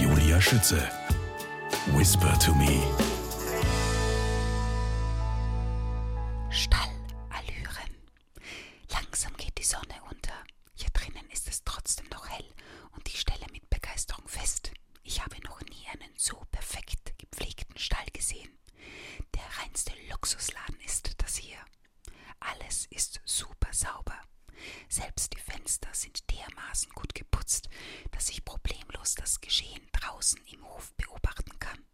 Julia Schütze. Whisper to me. Stallallüren. Langsam geht die Sonne unter. Hier drinnen ist es trotzdem noch hell und ich stelle mit Begeisterung fest, ich habe noch nie einen so perfekt gepflegten Stall gesehen. Der reinste Luxusladen ist das hier. Alles ist super sauber. Selbst die Fenster sind dermaßen gut geputzt, dass ich problemlos das Geschehen draußen im Hof beobachten kann.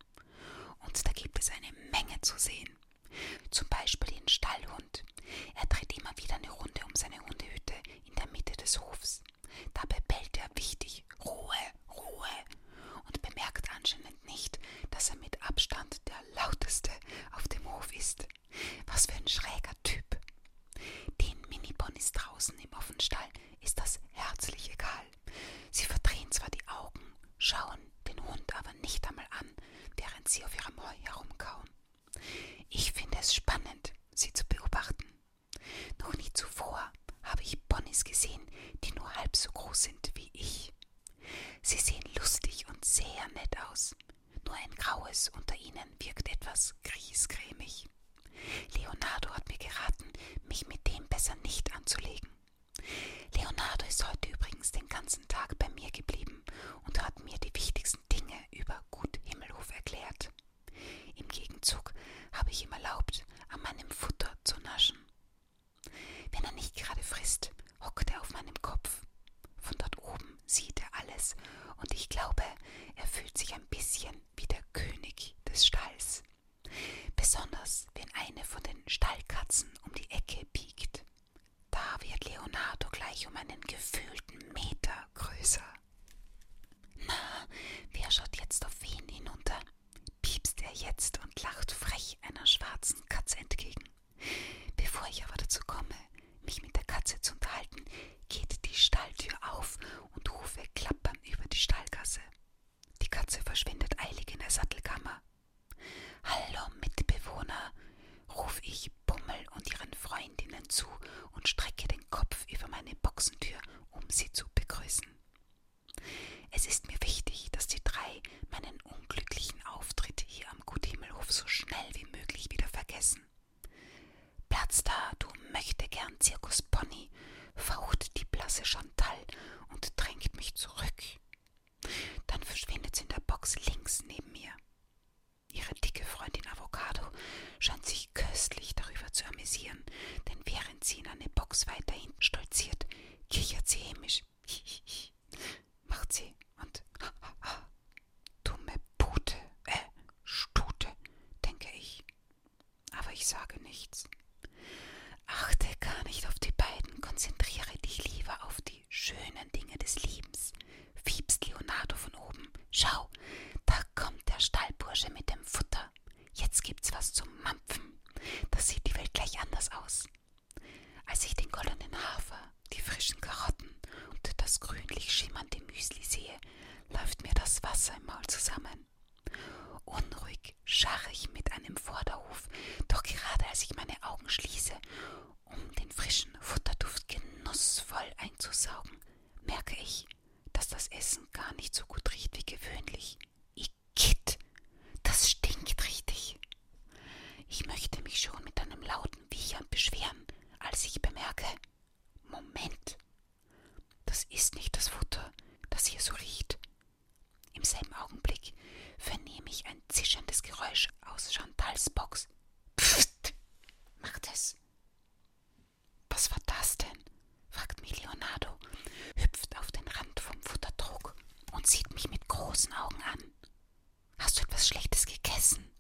Und da gibt es eine Menge zu sehen. Zum Beispiel den Stallhund. Er dreht immer wieder eine Runde um seine Hundehütte in der Mitte des Hofs. Dabei bellt er wichtig Ruhe, Ruhe und bemerkt anscheinend nicht, dass er mit Abstand der lauteste auf dem Hof ist. Was für ein schräger Typ. Den Mini-Ponys draußen im Offenstall ist das herzlich egal. Sie verdrehen zwar die Augen, schauen den Hund aber nicht einmal an, während sie auf ihrem Heu herumkauen. Ich finde es spannend, sie zu beobachten. Noch nie zuvor habe ich Ponys gesehen, die nur halb so groß sind wie ich. Sie sehen lustig und sehr nett aus. Nur ein graues unter ihnen wirkt etwas griesgrämig. Leonardo hat mir geraten, mich mit dem besser nicht anzulegen. Leonardo ist heute übrigens den ganzen Tag bei mir geblieben und hat mir die wichtigsten Dinge über Gut Himmelhof erklärt. Im Gegenzug habe ich ihm erlaubt, an meinem Futter zu naschen. Wenn er nicht gerade frisst, hockt er auf meinem Kopf von dort oben sieht er alles und ich glaube, er fühlt sich ein bisschen wie der König des Stalls. Besonders wenn eine von den Stallkatzen um die Ecke biegt. Da wird Leonardo gleich um einen gefühlten Meter größer. Na, wer schaut jetzt auf wen hinunter? piepst er jetzt und lacht frech einer schwarzen Katze entgegen. Bevor ich aber dazu komme, mich mit der Katze zu unterhalten, geht die Stalltür auf und Hufe klappern über die Stallgasse. Die Katze verschwindet eilig in der Sattelkammer. Hallo Mitbewohner, ruf ich Bummel und ihren Freundinnen zu und strecke den Kopf über meine Boxentür, um sie zu begrüßen. Es ist mir wichtig, dass die drei meinen unglücklichen Auftritt hier am Guthimmelhof so schnell wie möglich wieder vergessen. Platz da, du möchte gern Zirkuspony, faucht die blasse Chantal und drängt mich zurück. Dann verschwindet sie in der Box links neben mir. Ihre dicke Freundin Avocado scheint sich köstlich darüber zu amüsieren, denn während sie in eine Box weiter hinten stolziert, kichert sie hämisch. Macht sie und ha, ha, ha, Dumme Pute, äh, Stute, denke ich. Aber ich sage nichts. Achte gar nicht auf die beiden, konzentriere dich lieber auf die schönen Dinge des Lebens, fiebst Leonardo von oben. Schau, da kommt der Stallbursche mit dem Futter. Jetzt gibt's was zum Mampfen. Das sieht die Welt gleich anders aus. Als ich den goldenen Hafer die frischen Karotten und das grünlich schimmernde Müsli sehe, läuft mir das Wasser im Maul zusammen. Unruhig scharre ich mit einem Vorderhof, doch gerade als ich meine Augen schließe, um den frischen Futterduft genussvoll einzusaugen, merke ich, dass das Essen gar nicht so gut riecht wie gewöhnlich. Igitt, das stinkt richtig. Ich möchte mich schon mit einem lauten Wiechern beschweren, als ich bemerke, Moment, das ist nicht das Futter, das hier so riecht. Im selben Augenblick vernehme ich ein zischendes Geräusch aus Chantals Box. Pfft, macht es. Was war das denn? fragt Milionado, hüpft auf den Rand vom Futtertrog und sieht mich mit großen Augen an. Hast du etwas Schlechtes gegessen?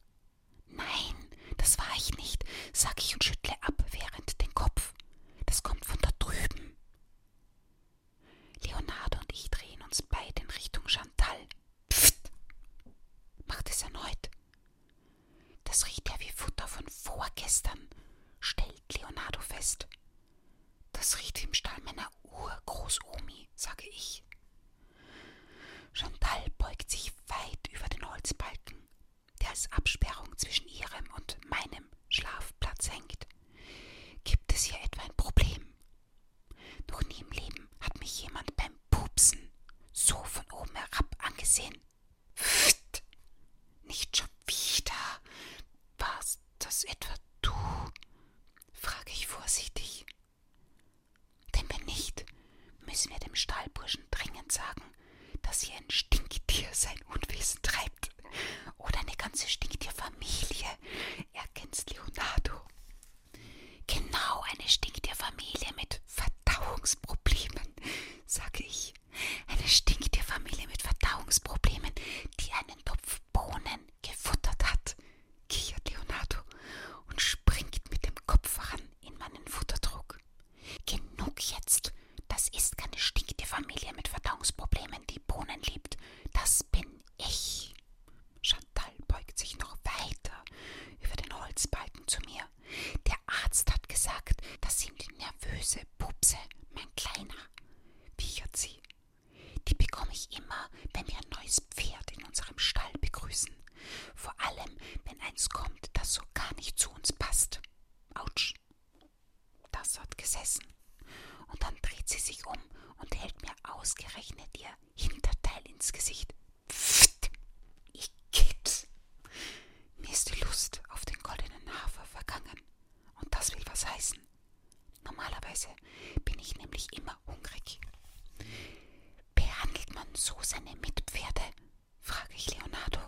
Nein, das war ich nicht, sag ich und schüttle abwehrend den Kopf. Das kommt von da drüben. Leonardo und ich drehen uns beide in Richtung Chantal. Pfft! Macht es erneut. Das riecht ja wie Futter von vorgestern, stellt Leonardo fest. Das riecht wie im Stall meiner Urgroßomi, sage ich. Chantal beugt sich weit über den Holzbalken, der als Absperrung zwischen ihrem und meinem Schlafplatz hängt. Gibt es hier etwa ein Problem? Noch nie im Leben hat mich jemand beim Pupsen so von oben herab angesehen. Pfft. Nicht schon wieder. Warst das etwa du? frage ich vorsichtig. Denn wenn nicht, müssen wir dem Stahlburschen dringend sagen, dass hier ein Stinktier sein Unwesen treibt. Oder eine ganze Stinktierfamilie. Ergänzt Leonardo. Genau eine Stinktierfamilie mit Verdauungsproblemen, sage ich. Eine Stinktierfamilie mit Verdauungsproblemen, die einen Topf Bohnen gefuttert hat, kichert Leonardo und springt mit dem Kopf voran in meinen Futterdruck. Genug jetzt. Das ist keine stinkende Familie mit Verdauungsproblemen, die Bohnen liebt. Das bin ich. Chantal beugt sich noch weiter über den Holzbalken zu mir. Der Arzt hat gesagt, das sind nervöse Pupse, mein Kleiner, wiechert sie. Die bekomme ich immer, wenn wir ein neues Pferd in unserem Stall begrüßen. Vor allem, wenn eins kommt, das so gar nicht zu uns passt. Autsch. Das hat gesessen. Und dann dreht sie sich um und hält mir ausgerechnet ihr Hinterteil ins Gesicht. Pfft. Ich kipp's. Mir ist die Lust auf den goldenen Hafer vergangen. Und das will was heißen. Normalerweise bin ich nämlich immer hungrig. Behandelt man so seine Mitpferde, frage ich Leonardo.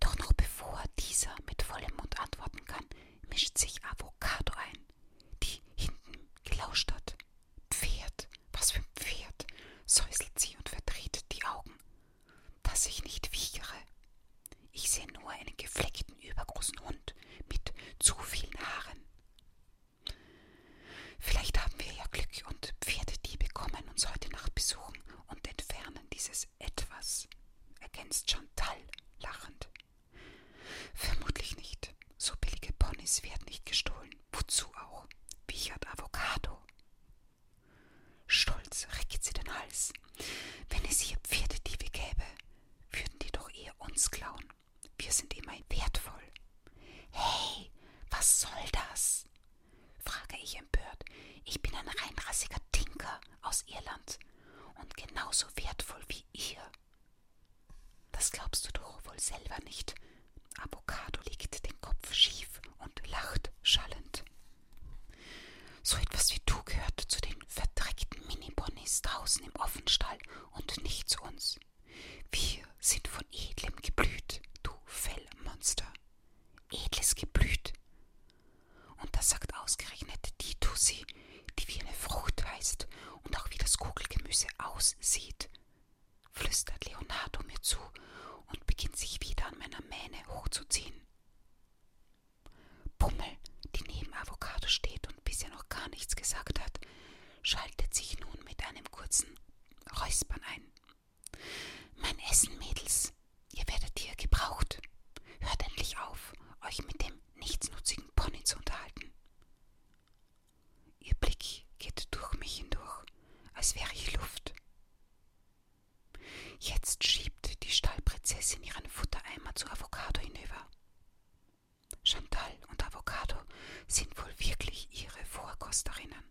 Doch noch bevor dieser mit vollem Mund antworten kann, mischt sich Avocado ein, die hinten gelauscht hat. Pferd, was für ein Pferd, säuselt sie und verdreht die Augen, dass ich nicht wiechere. Ich sehe nur einen gefleckten, übergroßen Hund mit zu vielen Haaren. Vielleicht haben wir ja Glück und Pferdediebe kommen uns heute Nacht besuchen und entfernen dieses Etwas, ergänzt Chantal lachend. Vermutlich nicht. So billige Ponys werden nicht gestohlen. Wozu auch? Wichert Avocado. Stolz reckt sie den Hals. Wenn es hier Pferdediebe gäbe, würden die doch eher uns klauen. Wir sind immerhin wertvoll. Hey, was soll das? frage ich empört. Ich bin ein reinrassiger Tinker aus Irland und genauso wertvoll wie ihr. Das glaubst du doch wohl selber nicht. Avocado legt den Kopf schief und lacht schallend. So etwas wie du gehört zu den verdreckten Miniponies draußen im Offenstall und nicht zu uns. Wir sind von edlem Geblüt, du Fellmonster. Edles Geblüt. Und das sagt ausgerechnet die Tussi, die wie eine Frucht heißt und auch wie das Kugelgemüse aussieht, flüstert Leonardo mir zu und beginnt sich wieder an meiner Mähne hochzuziehen. Pummel, die neben Avocado steht und bisher noch gar nichts gesagt hat, schaltet sich nun mit einem kurzen Räuspern ein. Mein Essen, Mädels, ihr werdet hier gebraucht. Hört endlich auf, euch mit dem nichtsnutzigen Pony zu unterhalten. Ihr Blick geht durch mich hindurch, als wäre ich Luft. Jetzt schiebt die Stallprinzessin ihren Futtereimer zu Avocado hinüber. Chantal und Avocado sind wohl wirklich ihre Vorkosterinnen.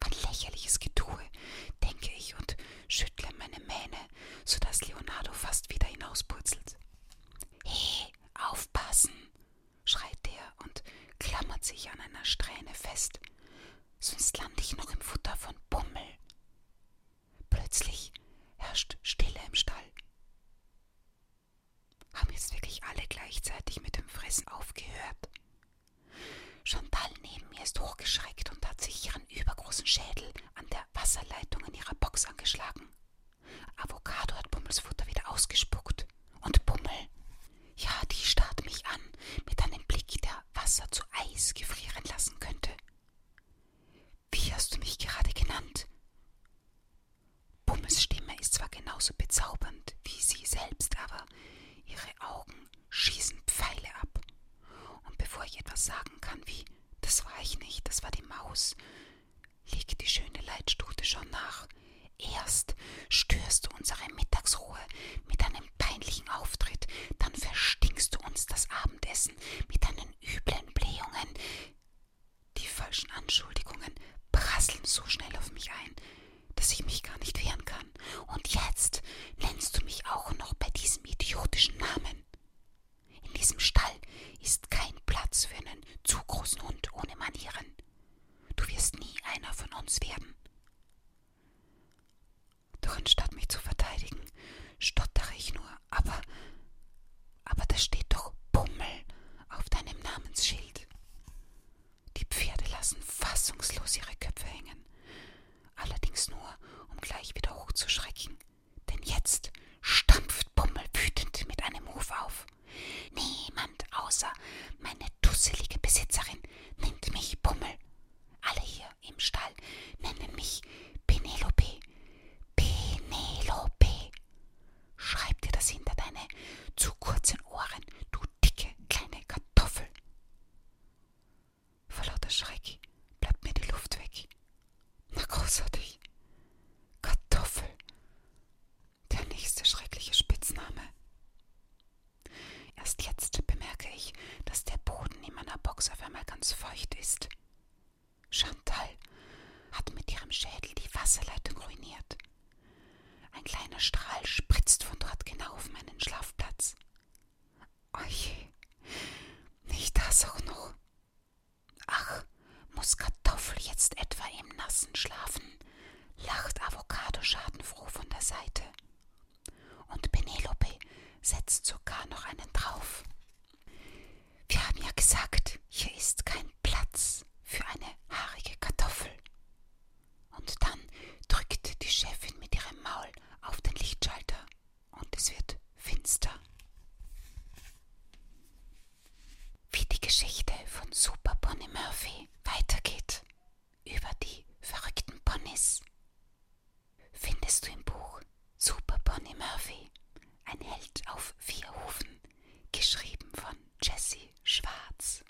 Ein lächerliches Getue, denke ich und schüttle meine Mähne, so dass Leonardo fast wieder hinauspurzelt. He, aufpassen! schreit er und klammert sich an einer Strähne fest, sonst lande ich noch im Futter von Bummel. Plötzlich herrscht Stille im Stall. Haben jetzt wirklich alle gleichzeitig mit dem Fressen aufgehört? Chantal neben mir ist hochgeschreckt und hat sich ihren übergroßen Schädel an der Wasserleitung in ihrer Box angeschlagen. Avocado hat Bummels Futter wieder ausgespuckt. Und Bummel? Ja, die starrt mich an, mit einem Blick, der Wasser zu Eis gefrieren lassen könnte. Wie hast du mich gerade genannt? Bummels Stimme ist zwar genauso bezaubernd wie sie selbst, aber ihre Augen schießen Pfeile ab. Und bevor ich etwas sagen kann wie das war ich nicht, das war die Maus, liegt die schöne Leitstute schon nach. Erst störst du unsere Mittagsruhe mit einem peinlichen Auftritt, dann verstinkst du uns das Abendessen mit deinen üblen Blähungen. Die falschen Anschuldigungen prasseln so schnell auf mich ein, dass ich mich gar nicht wehren kann. Und jetzt nennst du mich auch noch bei diesem idiotischen Namen. In diesem Stall ist kein Platz für einen zu großen Hund ohne Manieren. Du wirst nie einer von uns werden. Doch anstatt mich zu verteidigen, stottere ich nur, aber. Aber da steht doch Bummel auf deinem Namensschild. Die Pferde lassen fassungslos ihre Köpfe hängen, allerdings nur, um gleich wieder hochzuschrecken, denn jetzt stampft Bummel wütend mit einem Ruf auf. Niemand außer meine dusselige Besitzerin nennt mich Bummel. Alle hier im Stall nennen mich Penelope. Penelope. Schreib dir das hinter deine zu kurzen Ohren, du dicke kleine Kartoffel. Vor lauter Schreck bleibt mir die Luft weg. Na großartig. Kartoffel. Der nächste schreckliche Spitzname. Erst jetzt bemerke ich, dass der Boden in meiner Box auf einmal ganz feucht ist. Chantal hat mit ihrem Schädel die Wasserleitung ruiniert. Ein kleiner Strahl spritzt von dort genau auf meinen Schlafplatz. Oje, nicht das auch noch. Ach, muss Kartoffel jetzt etwa im Nassen schlafen? lacht Avocado schadenfroh von der Seite. Und Penelope setzt sogar noch einen drauf. Wir haben ja gesagt, hier ist kein Platz für eine haarige Kartoffel. Und dann drückt die Chefin mit ihrem Maul auf den Lichtschalter und es wird finster. Wie die Geschichte von Super Bonnie Murphy weitergeht über die verrückten Ponys, findest du im Buch Super Bonnie Murphy, ein Held auf vier Hufen, geschrieben von Jesse Schwarz.